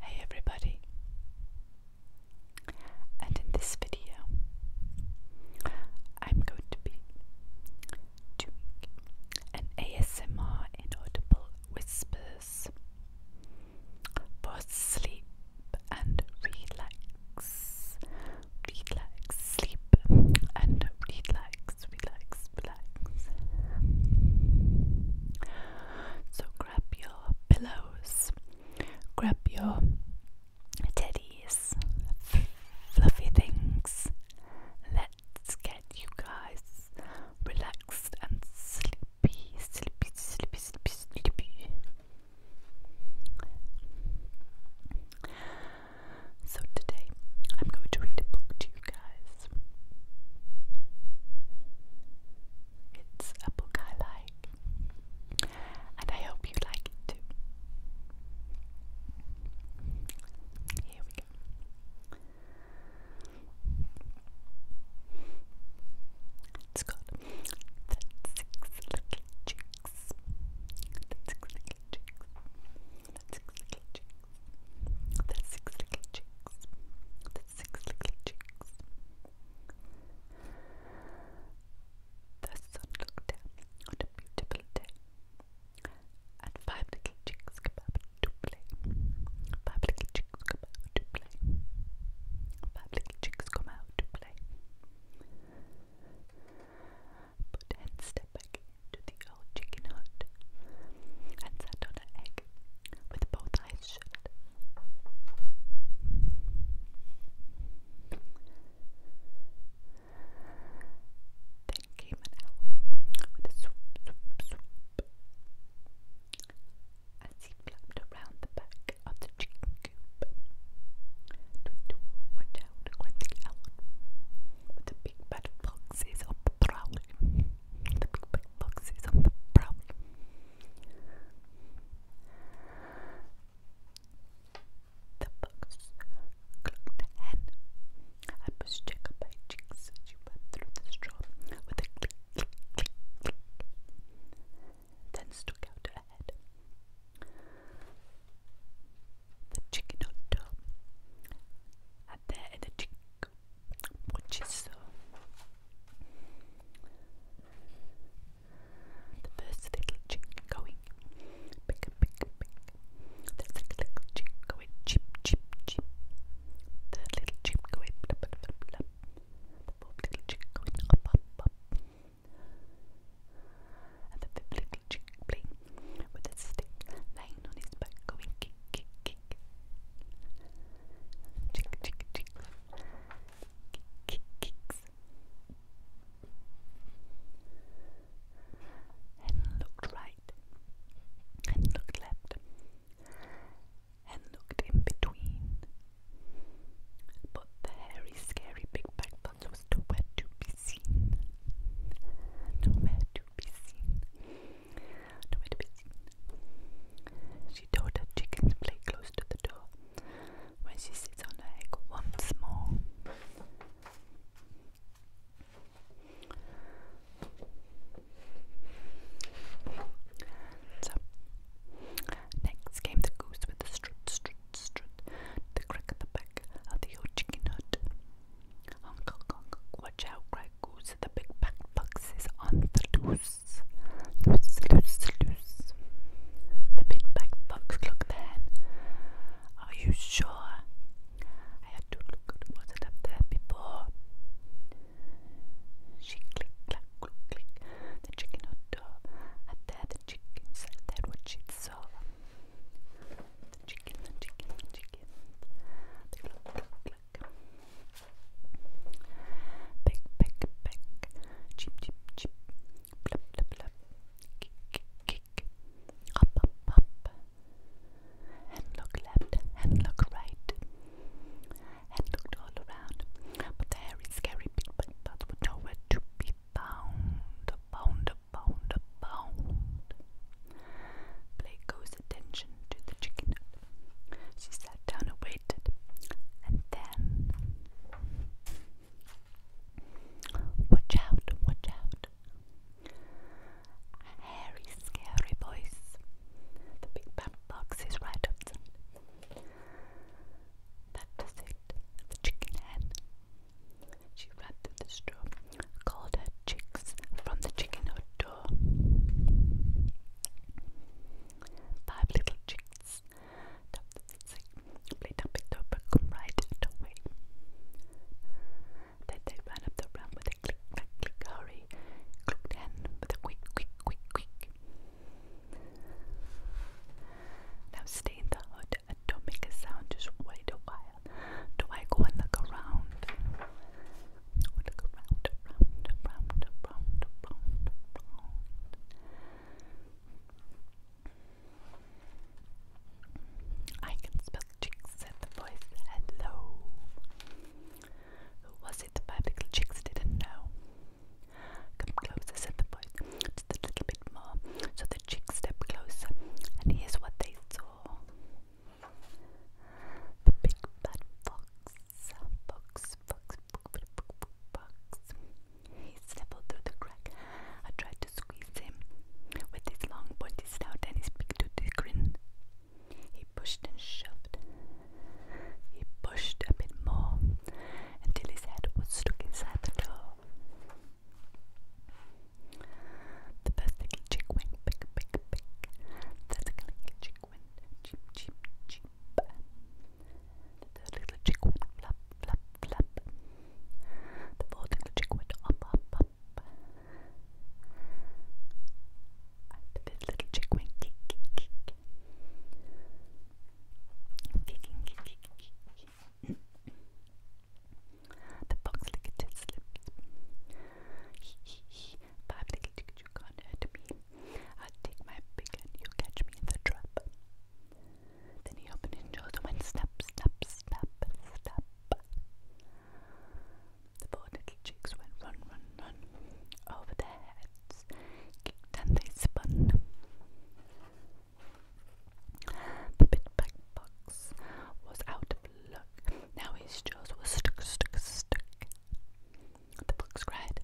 Hey everybody, and in this video, I'm going to be doing an ASMR inaudible whispers for sleep and relax, relax, sleep and relax, relax, relax. So grab your pillows, grab your teddies, fluffy things. Let's get you guys relaxed and sleepy, sleepy, sleepy, sleepy, sleepy. So today I'm going to read a book to you guys. It's a book I like, and I hope you like it too. Here we go. It's called The Six Little Chicks. The Six Little that's six little chicks. That's six little chicks. That's six little chicks. The sun looked down on a beautiful day, and five little chicks came up to play. Five little chicks come out to play. Five little chicks come out to play. But then step back to the old chicken hut and sat on an egg with both eyes shut. Then came an owl with a swoop, swoop, swoop. As he flapped around the back of the chicken coop. Tweet, watch out, the owl with a big bad fox boxes of Brawley. The big, big boxes of Brawley. The box clucked hen. I pushed Jacob by cheeks as she went through the straw with a click, click, click, click. Then stuck out her head. The chicken hot do and there in the cheek, which the first little cheek going big, big, big. The second little cheek going cheap, cheap, cheap. The little cheek going blub, blub, blub, And the fifth little cheek playing with a stick. They on his back going kick, kick, kick. Chick, chick, chick. Kick, kick, kicks. And looked right. And looked left. And looked in between. But the hairy, scary big back was too wet to be seen. Nowhere to be seen. Nowhere to be seen. She told her chicken to play close to the door when she sits on her egg once more. So, next came the goose with the strut, strut, strut, the crack at the back of the old chicken hut. Honk, honk, Watch out, The big pack fox is on the loose. Loose, loose, loose. The big pack fox looked then. Are you sure? I had to look at what was there before. She click, clack, click, click. The chicken hot dog. Up there, the chicken said that what she saw. The chicken, the chicken, the chicken. They look, look, look. Peck, peck, peck. Chip, chip, chip. Blup, blup, blup. Kick, kick, kick. Up, up, up. And look left, and look right. And looked all around. But the hairy, scary big butt was nowhere to be found. Found, pound, goes attention to the chicken. She sat down and and then watch out, watch out. A hairy, scary voice. The big pamper box is right outside. That it. The chicken hen. She ran through the straw called her chicks from the chicken hut door. Five little chicks, top come right away. Then they ran up the ramp with a click, click, click, hurry, clucked hen with a quick, quick, quick, quick. Now stay in the hut and don't make a sound, just wait a while. Do I go and look around? I can spell chicks, said the voice. Hello. Who was it? The five little chicks didn't know. Come closer, said the voice. Just a little bit more. So the chicks stepped closer, and here's what they saw. The big bad fox, fox, fox, fox, fox. He stumbled through the crack. I tried to squeeze him with his long pointy snout and his big toothy grin. He pushed and shoved. He pushed a bit more until his head was stuck inside the door. The first little chick went pick, pick, pick. The second little chick went cheep, cheep, cheep. The third little chick went flap, flap, flap. The fourth little chick went up, up, up. And the fifth little chick went kick, kick, kick. Kicking, kick, kick, kick. The fox licked his lips. He, he, he, five little chickens, you can't hurt me. I'll take my big and you catch me in the trap. Then he opened his jaws and went snap, snap, snap, snap. The four little chicks went run, run, run over their heads, kicked and they spun. The big black box was out of look. Now his jaws were stuck, stuck, stuck. The fox cried.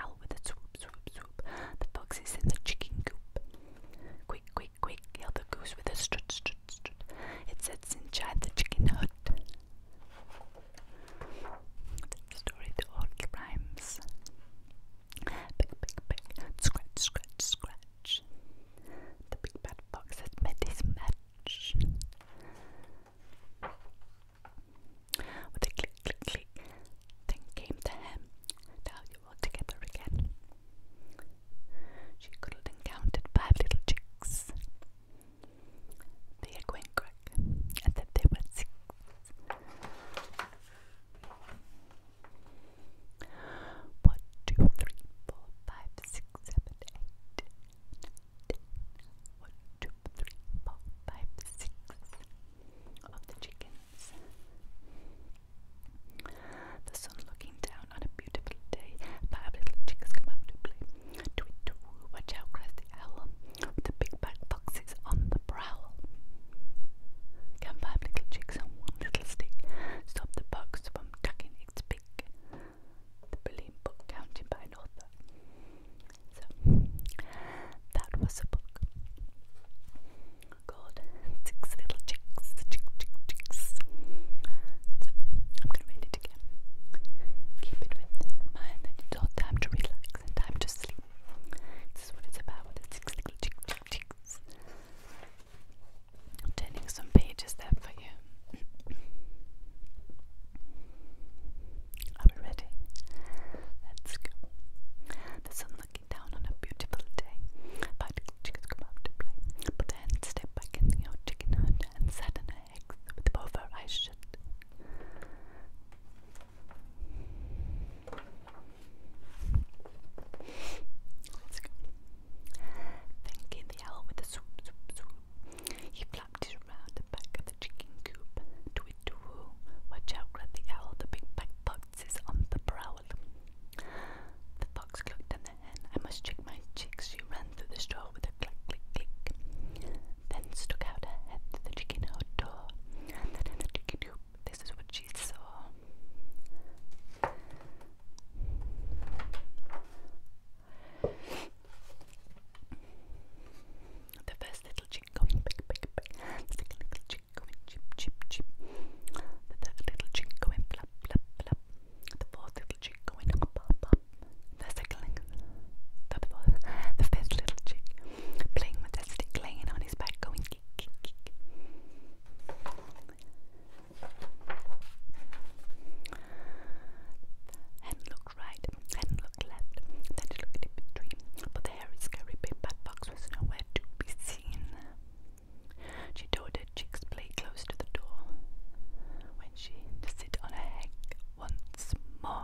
Owl with a swoop, swoop, swoop. The fox is in the chicken coop. Quick, quick, quick, yelled the goose with a strut, strut, strut. It sits inside the chicken hut. story to all rhymes. Pick, pick, pick, scratch, scratch, scratch. The big bad fox has met his match. With a click, click, click, then came the hen. Now you all together again. She cuddled and counted five little chicks. They had went and then they were six. One, two, three, four, five, six, seven, eight, ten, one, two, three, four, five, six of the chickens. The sun looking down on a beautiful day. Five little chickens come out to play. Tweet, too, watch out, cries owl. the big black foxes on the prowl. Can five little chicks on one little stick stop the fox from tucking its beak? the Berlin Book Counting by author. So that was a book called Six Little Chicks. So I'm gonna read it again. Keep it with mind it's all time to relax time to sleep. This is what it's about with the six little chicks turning some pages there for you. Are we ready? Let's go. The sun looking down on a beautiful day. Particle chickens come out to play, but the hen back in the old chicken hut and sat on her eggs with both her Let's go. Thinking the owl with the he flapped his round back at the chicken coop. Tweet to Watch out, cried the owl. The big black fox is on the prowl. The fox looked at the hen. I must check my chicks. She ran through the straw with a click, click, click. Then stuck out her head through the chicken hut door. And in the chicken coop, this is what she saw. The first little chink going pick, pick, pick. The second little chink going chip, chip, chip. The third little chink going flap, flap, flap. The fourth little chink going up, up, up. The second, the fourth, the fifth little chink playing with that stick, laying on his back, going kick, kick, kick. Hadn't right, hadn't left, then it looked in between, but the hairy, scary big bad box was nowhere to be seen. She told her cheeks play close to the door when she to sit on a head once more.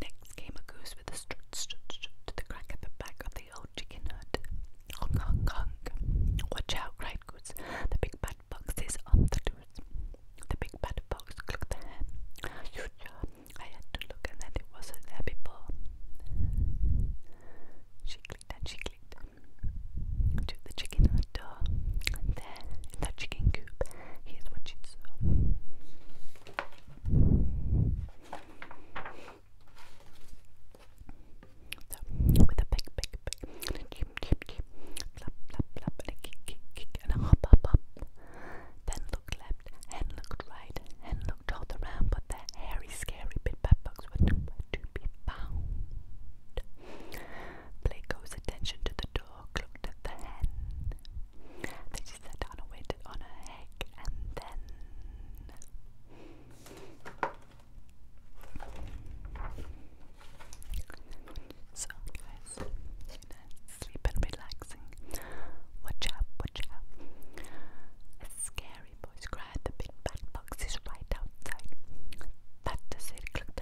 Next came a goose with a strut, strut, strut to the crack at the back of the old chicken hut. Honk, honk, honk. Watch out, cried Goose. The big bad fox is on the loose. The big bad fox clicked the ham. I had to look, and then it wasn't there before. She clicked and she clicked to the chicken hut door. And then in that chicken coop, here's what she saw. So, with a big, big, big, a cheep, cheep, cheep, flap, flap, flap, and a kick, kick, kick, and a hop, hop, hop. Then look left, and looked right, and looked all around, but the hairy, scary bit bed bugs were nowhere to be found. Play Blaco's attention to the dog looked at the hen that she sat down and waited on her egg, and then. So, guys, you know, sleep and relaxing. Watch out, watch out. A scary voice cried, the big bad box is right outside. That does it, click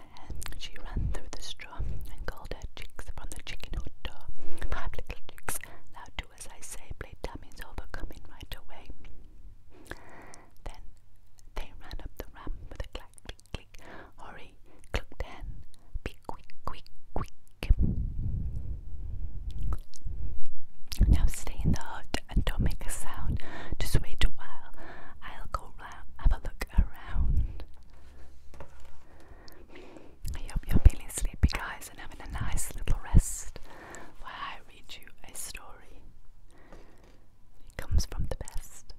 and She ran through the straw and called her chicks from the chicken hut door. Five little chicks, now do as I say, play dummies over, come right away. Then they ran up the ramp with a clack, click, click, hurry, clucked hen, be quick, quick, quick. Now stay in the hut and don't make a sound. Just wait a while. I'll go round, have a look around. I hope you're feeling sleepy, guys, and having a nice little rest while I read you a story. It comes from the best.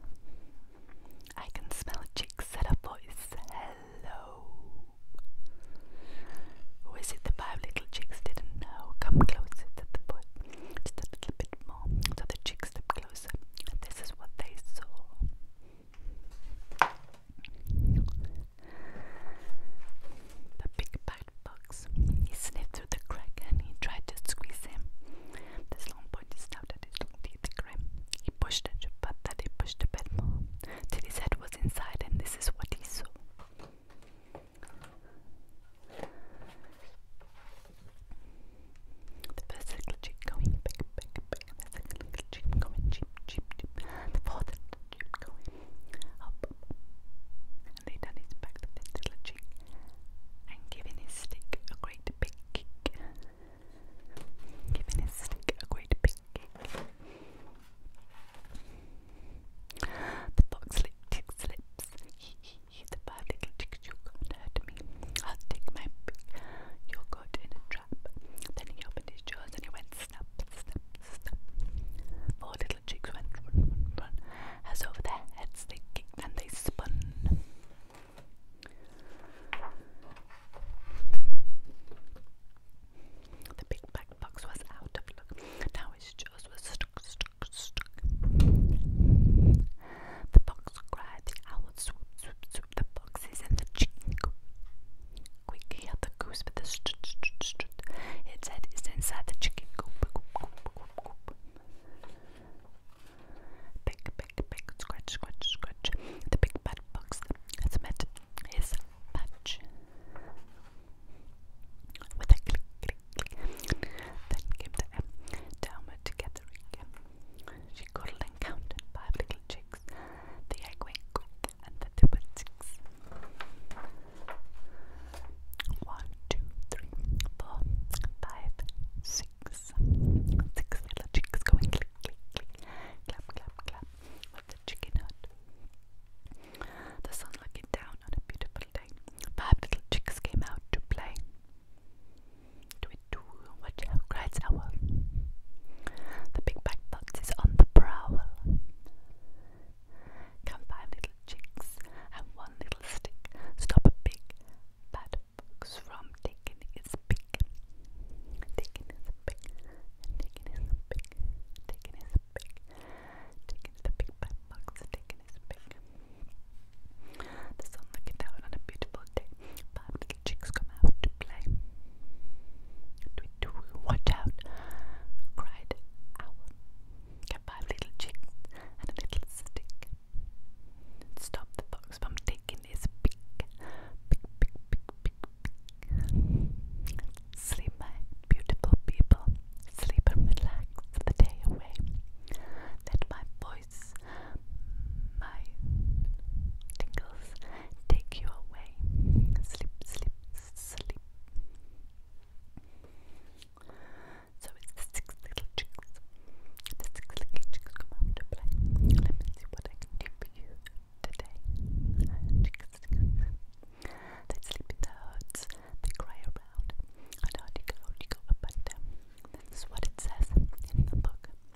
I can smell Chick said a voice. Hello. Who is it the five little chicks didn't know? Come closer to the boy. Just a little bit more. So the chicks stepped closer. This is what they saw. The big bite box. He sniffed through the crack and he tried to squeeze him. This long body snubbed his long teeth to grim. He pushed it, but that he pushed a bit more. Till his head was inside, and this is what he saw. The first little chip going big, big, big. The second little chip going cheap, cheap, cheap. The fourth little chip going up, up, up. And laid on his back the fifth little chip and giving his stick a great big kick. Giving his stick a great big kick. The fox licked his lips. He, he, he. The five little chicks, you can't hurt me. I'll take my pick. You're caught in a trap. Then he opened his jaws and he went snap, snap, snap. Four little chicks went run, run, run, as over their heads they kicked and they spun. The big black fox was out of luck. Now his jaws were stuck, stuck, stuck. The fox cried, the owl swooped, swooped, soup, the foxes, and the chicken coop. Quick, he had the goose with the strut, strut, strut. Its head is inside the chicken coop. coop, coop, coop, coop. Pick, pick, The big bad fox has met his patch. With a click, click, click. Then came the M. Down together again. She cuddled and counted five little chicks. The egg went quick, and then there were six. One, two, three, four, five, six. Six little chicks going click, click, click, clap, clap, clap the chicken hut. The sun looking down on a beautiful day. Five little chicks came out to play. Twit watch out, cries owl. The big back fox is on the prowl. Come five little chicks and one little stick. Stop a big bad fox from taking his pick. Taking his pick, taking his pick, taking his pick, taking the big bad fox, taking his pick. The sun looking down on a beautiful day chicks come out to play. Watch out, cried Owl. Get five little chicks and a little stick. Stop the fox from taking his pick. Pick, pick, pick, pick, pick. Sleep, my beautiful people. Sleep and relax the day away. Let my voice my tingles take you away. Sleep, sleep, sleep. So it's six little chicks. The six little chicks come out to play. Let me see what I can do for you today. Chicks, chicks. They They cry around. And hardly go, hardly go up and down. This what it says in the book.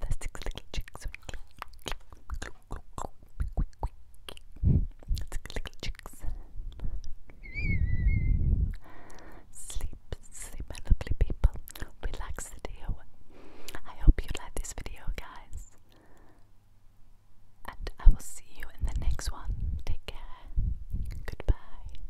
The six little chicks Sleep, sleep my lovely people Relax the deal I hope you like this video guys and I will see you in the next one. Take care. Goodbye.